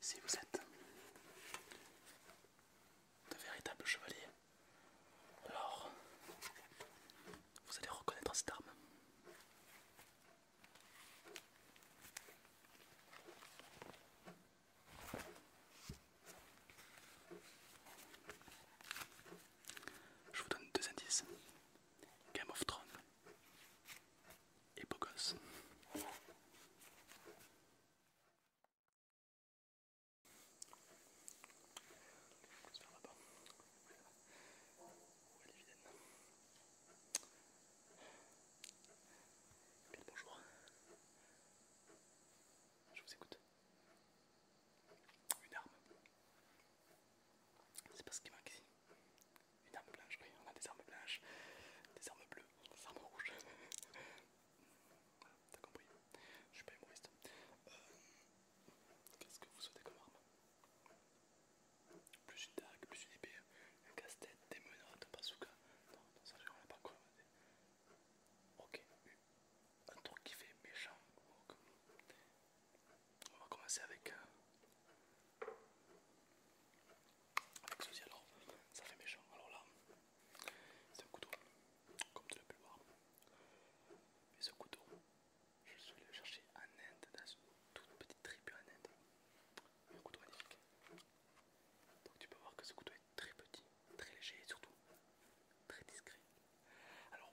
Si vous êtes de véritables chevaliers, alors vous allez reconnaître cette arme. Je vous donne deux indices. Game of Thrones et Pogos bonjour. Je vous écoute. Une arme. C'est pas ce qui manque ici. Une arme blanche, oui, on a des armes blanches, des armes bleues, des armes rouges. voilà, t'as compris, je suis pas humoriste. Euh, qu'est-ce que vous souhaitez comme arme Plus une dague, plus une épée, un casse-tête, des menottes, un bazooka. Non, non, ça on l'a pas encore, Ok, un truc qui fait méchant. On va commencer avec, ceci euh, alors, ça fait méchant. Alors là, c'est un couteau, comme tu l'as pu voir. Et ce couteau, je suis allé le chercher en Inde, dans une toute petite tribu en Inde. Un couteau magnifique. Donc tu peux voir que ce couteau est très petit, très léger et surtout très discret. Alors,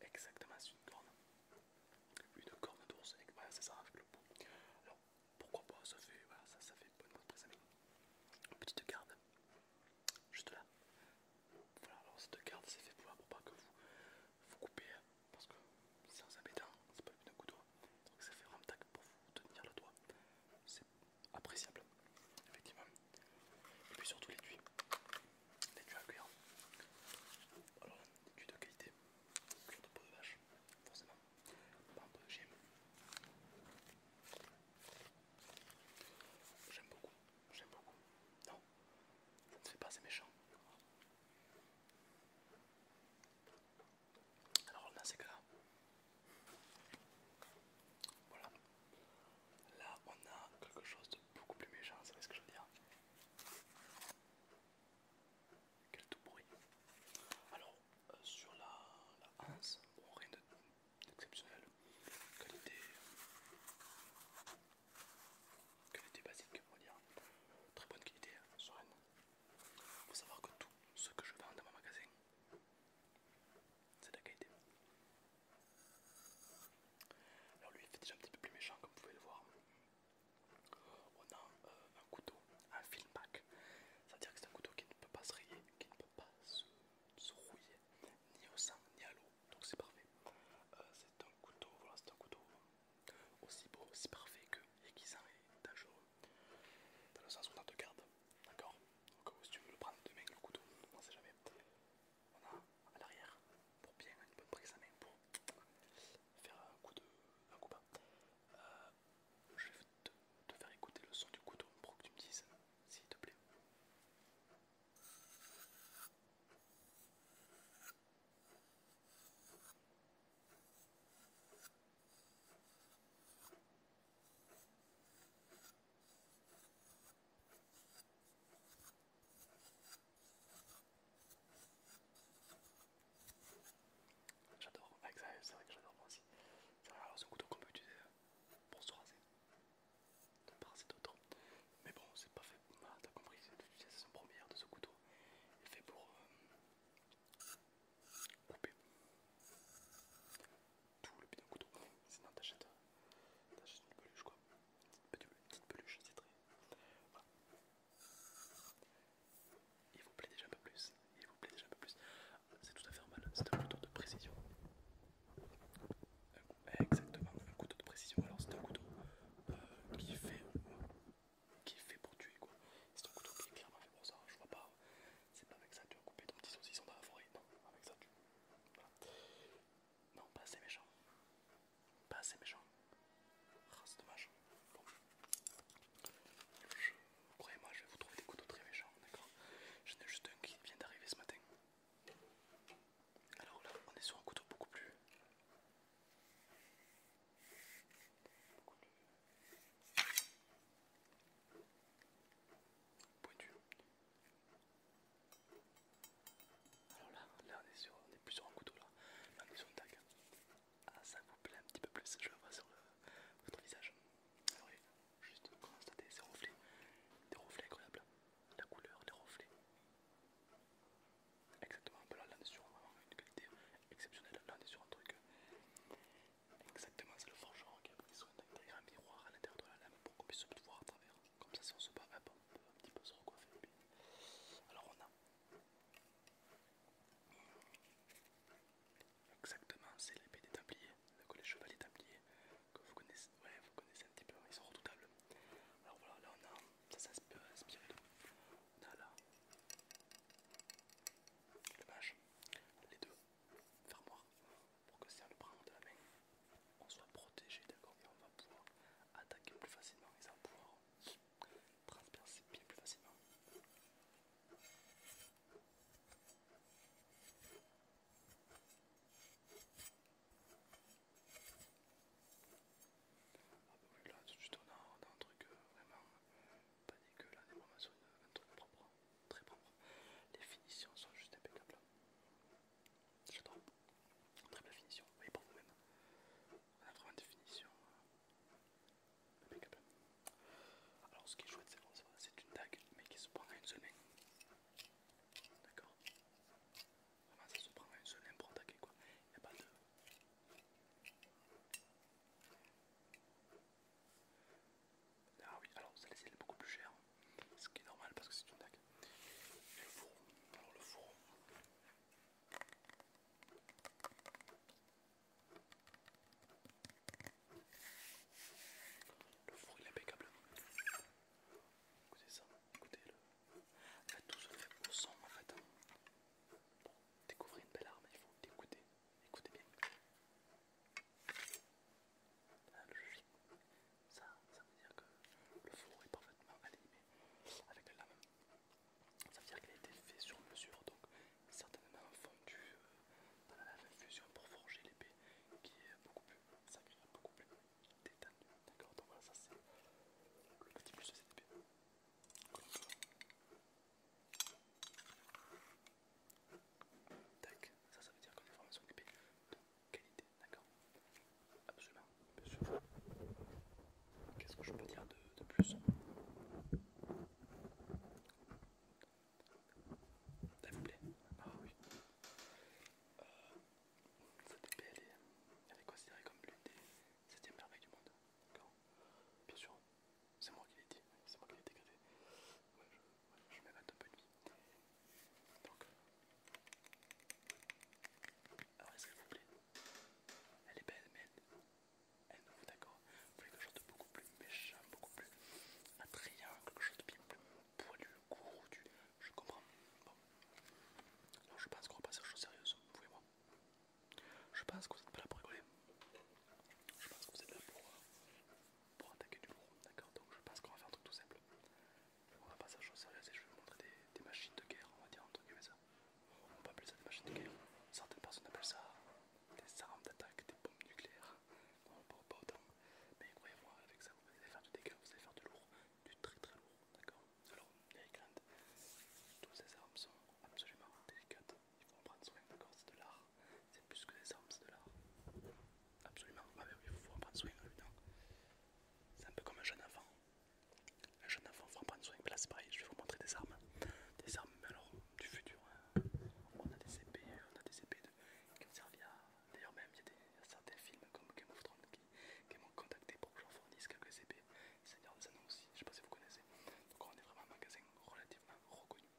Exactement, c'est une corne. Une corne d'ours, voilà, c'est ça, avec le bout. Alors, pourquoi pas, ça fait, voilà, ça, ça fait bonne Petite garde, juste là. Voilà, alors cette garde, c'est fait pour, pas que vous vous coupez, hein, parce que c'est un embêtant, hein, c'est pas une couteau. Donc ça fait un tac pour vous tenir le doigt. C'est appréciable, effectivement. Et puis surtout les l'étui des tuyaux à cuire. Alors, des tuyaux de qualité, plus de peau de vache, forcément, pas un peu de J'aime beaucoup, j'aime beaucoup. Non, ça c'est pas assez méchant. Alors on a que là Voilà. Là on a quelque chose de beaucoup plus méchant, c'est ce que je veux dire. Quel tout bruit. Alors, euh, sur la, la bon, rien d'exceptionnel. Qualité, qualité basique, on va dire. Très bonne qualité, hein, sereine. faut savoir que tout ce que je vends dans mon magasin, c'est de la qualité. Alors lui il fait déjà un petit peu plus méchant comme vous pouvez le voir. On a euh, un couteau, un film pack, c'est-à-dire que c'est un couteau qui ne peut pas se rayer, qui ne peut pas se, rouiller, ni au sang, ni à l'eau, donc c'est parfait. Euh, c'est un couteau, voilà, c'est un couteau aussi beau, aussi parfait que aiguisant et dangereux, dans le sens où on a deux garde, d'accord Donc euh, si tu veux le prendre demain, le couteau, on sait jamais. On a à l'arrière, pour bien une bonne prise à main, pour faire un coup de un coup euh, je vais te, te faire écouter le son du couteau pour que tu me dises s'il te plaît. J'adore, ah, c'est vrai que j'adore moi aussi. C'est un couteau qu'on peut utiliser pour se raser, raser d'autres. Mais bon, c'est pas fait, moi, t'as compris, c'est l'utilisation première de ce couteau il est fait pour euh, couper tout le d'un couteau. Sinon euh, t'achètes une peluche quoi, une petite peluche, c'est très... Voilà. Il vous plaît déjà un peu plus. Il vous plaît déjà un peu plus. C'est tout à fait normal, c'est un couteau de précision. Exactement, un couteau de précision. Alors c'est un couteau euh, qui fait qui fait pour tuer quoi. C'est un couteau qui est clairement fait pour ça. Je vois pas. C'est pas avec ça que tu vas couper ton petit saucisson dans la forêt. Non, avec ça tu. Voilà. Non, pas assez méchant. Pas assez méchant. Ah, c'est dommage. Croyez-moi, je vais vous trouver des couteaux très méchants, d'accord J'en ai juste un qui vient d'arriver ce matin. Alors là, on est sur un couteau beaucoup plus. Pointu. Alors là, on est sur, on est plus sur un couteau là. on est sur un tag. Ah, ça vous plaît un petit peu plus, je le vois sur votre visage. Alors, ah juste constater ces reflets, des reflets incroyables, la couleur, les reflets. Exactement, là, là on est sur une qualité exceptionnelle, là on est sur un truc. Euh, exactement, c'est le forgeron qui a pris soin derrière miroir à l'intérieur de la lame pour qu'on puisse se voir à travers. Comme ça, si on se bat, on peut un petit peu se recoiffer. Alors, on a Exactement, c'est l'épée des Templiers, les chevaliers Templiers que vous connaissez, ouais, vous connaissez un petit peu, ils sont redoutables. Alors voilà, là on a, ça ça inspire de, on a là, le mage, les deux fermoirs, pour que si on le prend de la main, on soit protégé, d'accord, et on va pouvoir attaquer plus facilement, et ça pouvoir transpire bien plus facilement. Ah bah oui, là tout de suite on un truc euh, vraiment euh, pas dégueulasse. là, des un truc propre, hein, très propre. Les finitions sont juste impeccables. Hein. J'adore. Très belle finition, vous voyez vous-même on a vraiment définition euh, Alors ce qui est chouette c'est que c'est une tag mais qui se prend à une seule D'accord Vraiment ça se prend à une seule pour attaquer quoi. Il n'y a pas de... Ah oui, alors celle-ci elle est beaucoup plus chère, ce qui est normal parce que c'est une tag. Le fourreau, alors le four, le four est impeccable. Écoutez ça, écoutez le. tout se fait au son en fait. Hein. Pour découvrir une belle arme, il faut écouter. Écoutez bien. Ah, hein, logique. ça, ça veut dire que le four est parfaitement animé avec la lame. Ça veut dire qu'elle a été faite sur mesure, donc certainement fondu euh, dans la fusion pour forger l'épée qui est beaucoup plus sacrée, beaucoup plus détendue. D'accord Donc voilà, ça c'est le petit plus de cette épée. Tac, ça ça veut dire qu'on a formation d'épée de qualité, d'accord Absolument Qu'est-ce que je peux dire de, plus Ça vous plaît Ah oui. Euh, cette belle. elle est considérée comme l'une des 7 merveilles du monde. D'accord Bien sûr, c'est moi qui l'ai dit, c'est moi qui l'ai dégradé. Ouais, je, ouais, un peu de vie. Donc, euh, alors est-ce qu'elle vous plaît Elle est belle, mais elle, et eh nouveau, ben, d'accord quelque chose de beaucoup plus méchant, beaucoup plus attrayant, quelque chose de bien plus poilu, du... Je comprends. Bon. Alors je pense qu'on va passer à choses sérieuses, vous et moi. Je pense que vous n'êtes pas là pour rigoler. Je pense que vous êtes là euh, pour, attaquer du lourd, d'accord Donc je pense qu'on va faire un truc tout simple. On va passer à choses sérieuses et je vais vous montrer des, machines de guerre, on va dire, entre ça. On peut appeler ça des machines de guerre. Certaines personnes appellent ça des armes d'attaque, des bombes nucléaires. on ne parle pas autant. Mais croyez-moi, avec ça, vous allez faire du dégât, vous allez faire du lourd, du très très lourd. D'accord Alors, les Grant, toutes ces armes sont absolument délicates. Il faut en prendre soin, d'accord C'est de l'art. C'est plus que des armes, c'est de l'art. Absolument. Ah, il faut en prendre soin, évidemment. C'est un peu comme un jeune enfant. Un jeune enfant, pas en prendre soin. Mais là, c'est pareil, je vais vous montrer des armes. Des armes, du futur. Hein. On a des épées, on a des épées qui ont servi à. D'ailleurs, même, il y, a certains films comme Game of Thrones qui, m'ont contacté pour que j'en fournisse quelques épées. Seigneur des Anneaux aussi, je sais pas si vous connaissez. Donc, on est vraiment un magasin relativement reconnu.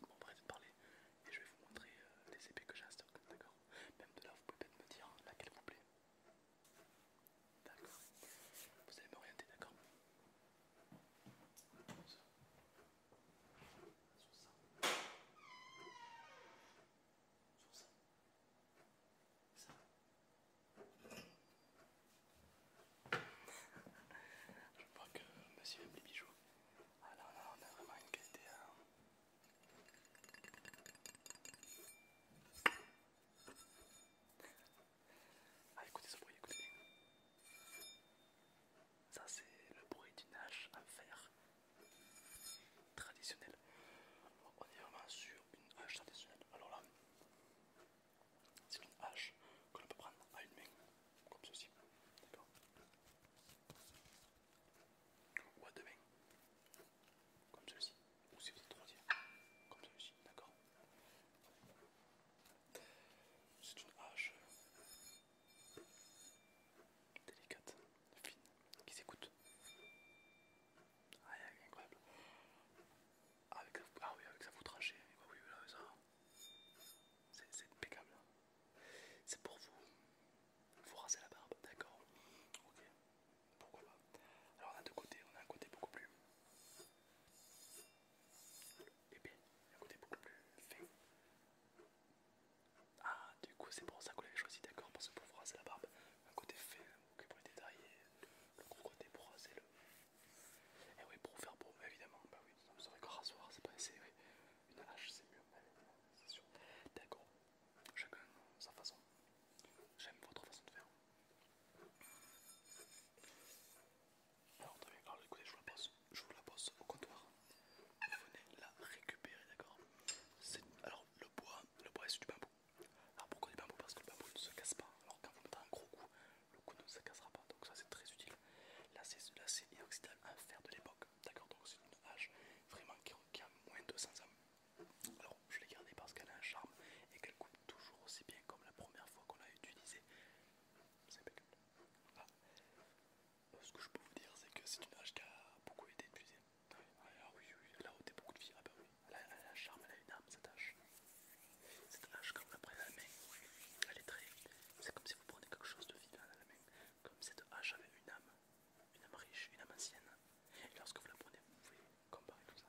Bon, va de parler et je vais vous montrer euh, les épées que j'ai stock, d'accord Même de là, vous pouvez peut-être me dire laquelle vous plaît. D'accord. Vous allez m'orienter, d'accord Sur ça. Sur ça. Ça. Je crois que monsieur aime les bijoux. Alors ah là, on a vraiment une qualité. Hein. Ah, écoutez ce bruit, écoutez Ça, c'est le bruit d'une hache en fer traditionnelle, On est vraiment sur une hache traditionnelle. Alors là, c'est une hache que l'on peut prendre à une main, comme ceci. D'accord Ou à deux mains, comme ceci ou si vous êtes trop comme celui-ci, d'accord C'est une hache délicate, fine, qui s'écoute. Ah, elle est incroyable. Ah, ah oui, avec sa foutrachée, bah oui, ça. C'est impeccable. C'est pour vous. Vous rasez la barbe, d'accord Ok pourquoi pas. Alors on a deux côtés, on a un côté beaucoup plus épais, un côté beaucoup plus fin. Ah du coup c'est pour ça qu'on l'avez choisi d'accord parce que pour raser la barbe, un côté fin beaucoup pour les le gros côté pour raser le. Et eh oui pour faire beau évidemment, bah oui, vous serait encore rasoir, c'est pas essayer, oui. Une hache c'est mieux, c'est sûr. D'accord, chacun sa façon. J'aime votre façon de faire. Alors écoutez, je vous la pose, au comptoir. Vous venez la récupérer, d'accord Alors le bois, le bois est du bambou. Alors pourquoi du bambou Parce que le bambou ne se casse pas. Alors quand vous mettez un gros coup, le coup ne se cassera pas. Donc ça c'est très utile. Là c'est inoxydable, un fer de l'époque, d'accord Donc c'est une hache vraiment qui, a moins de 200 ans. Je l'ai gardée parce qu'elle a un charme et qu'elle coupe toujours aussi bien comme la première fois qu'on l'a utilisée. C'est impeccable. Ah. Euh, ce que je peux vous dire, c'est que c'est une hache qui a beaucoup été utilisée. Ah, ah, ah oui, oui, elle a ôté beaucoup de filles. Bah elle a, un charme, elle a une âme cette hache. Cette hache, quand vous la prenez à la main, elle est très. C'est comme si vous prenez quelque chose de vivant à la main. Comme cette hache avait une âme, une âme riche, une âme ancienne. Et lorsque vous la prenez, vous pouvez comparer tout ça.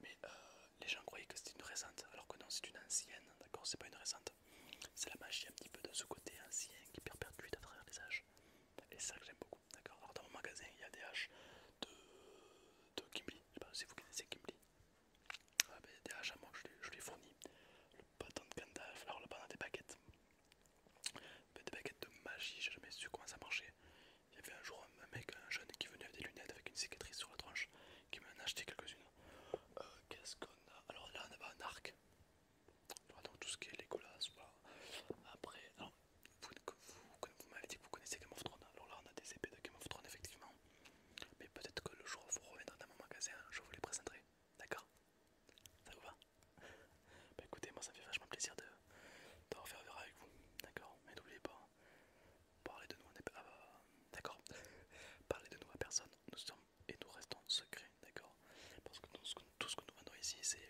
mais euh, les gens croyaient que c'était une récente, alors que non, c'est une ancienne, d'accord C'est pas une récente. C'est la magie un petit peu de ce côté ancien qui perdue à travers les âges. Et c'est ça que j'aime beaucoup, d'accord Alors dans mon magasin, il y a des haches de, de je sais pas si vous connaissez kimli ah, ben, des haches à moi, je, les fournis. Le bâton de Gandalf, alors le bâton des baguettes. Ben, des baguettes de magie, j'ai jamais su comment ça marchait. Il y avait un jour un mec, un jeune qui venait avec des lunettes avec une cicatrice sur la tranche, qui m'en a acheté quelques-unes. Euh, alors là, on a un arc. a donc tout ce qui est les voilà. Après, vous, vous m'avez dit que vous connaissez Game of Thrones. Alors là, on a des épées de Game of Thrones, effectivement. Mais peut-être que le jour où vous reviendrez dans mon magasin, je vous les présenterai. D'accord Ça vous va Bah écoutez, moi ça fait vachement plaisir de, de refaire verra avec vous. D'accord Mais n'oubliez pas, hein, Parlez de nous, ah bah, d'accord. Parler de à personne. Nous sommes et nous restons secrets, d'accord Parce que tout ce que nous vendons ici, c'est.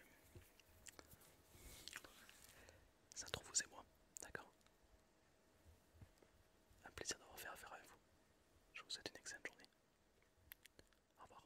Ça vous et moi, d'accord Un plaisir d'avoir fait affaire avec vous. Je vous souhaite une excellente journée. Au revoir.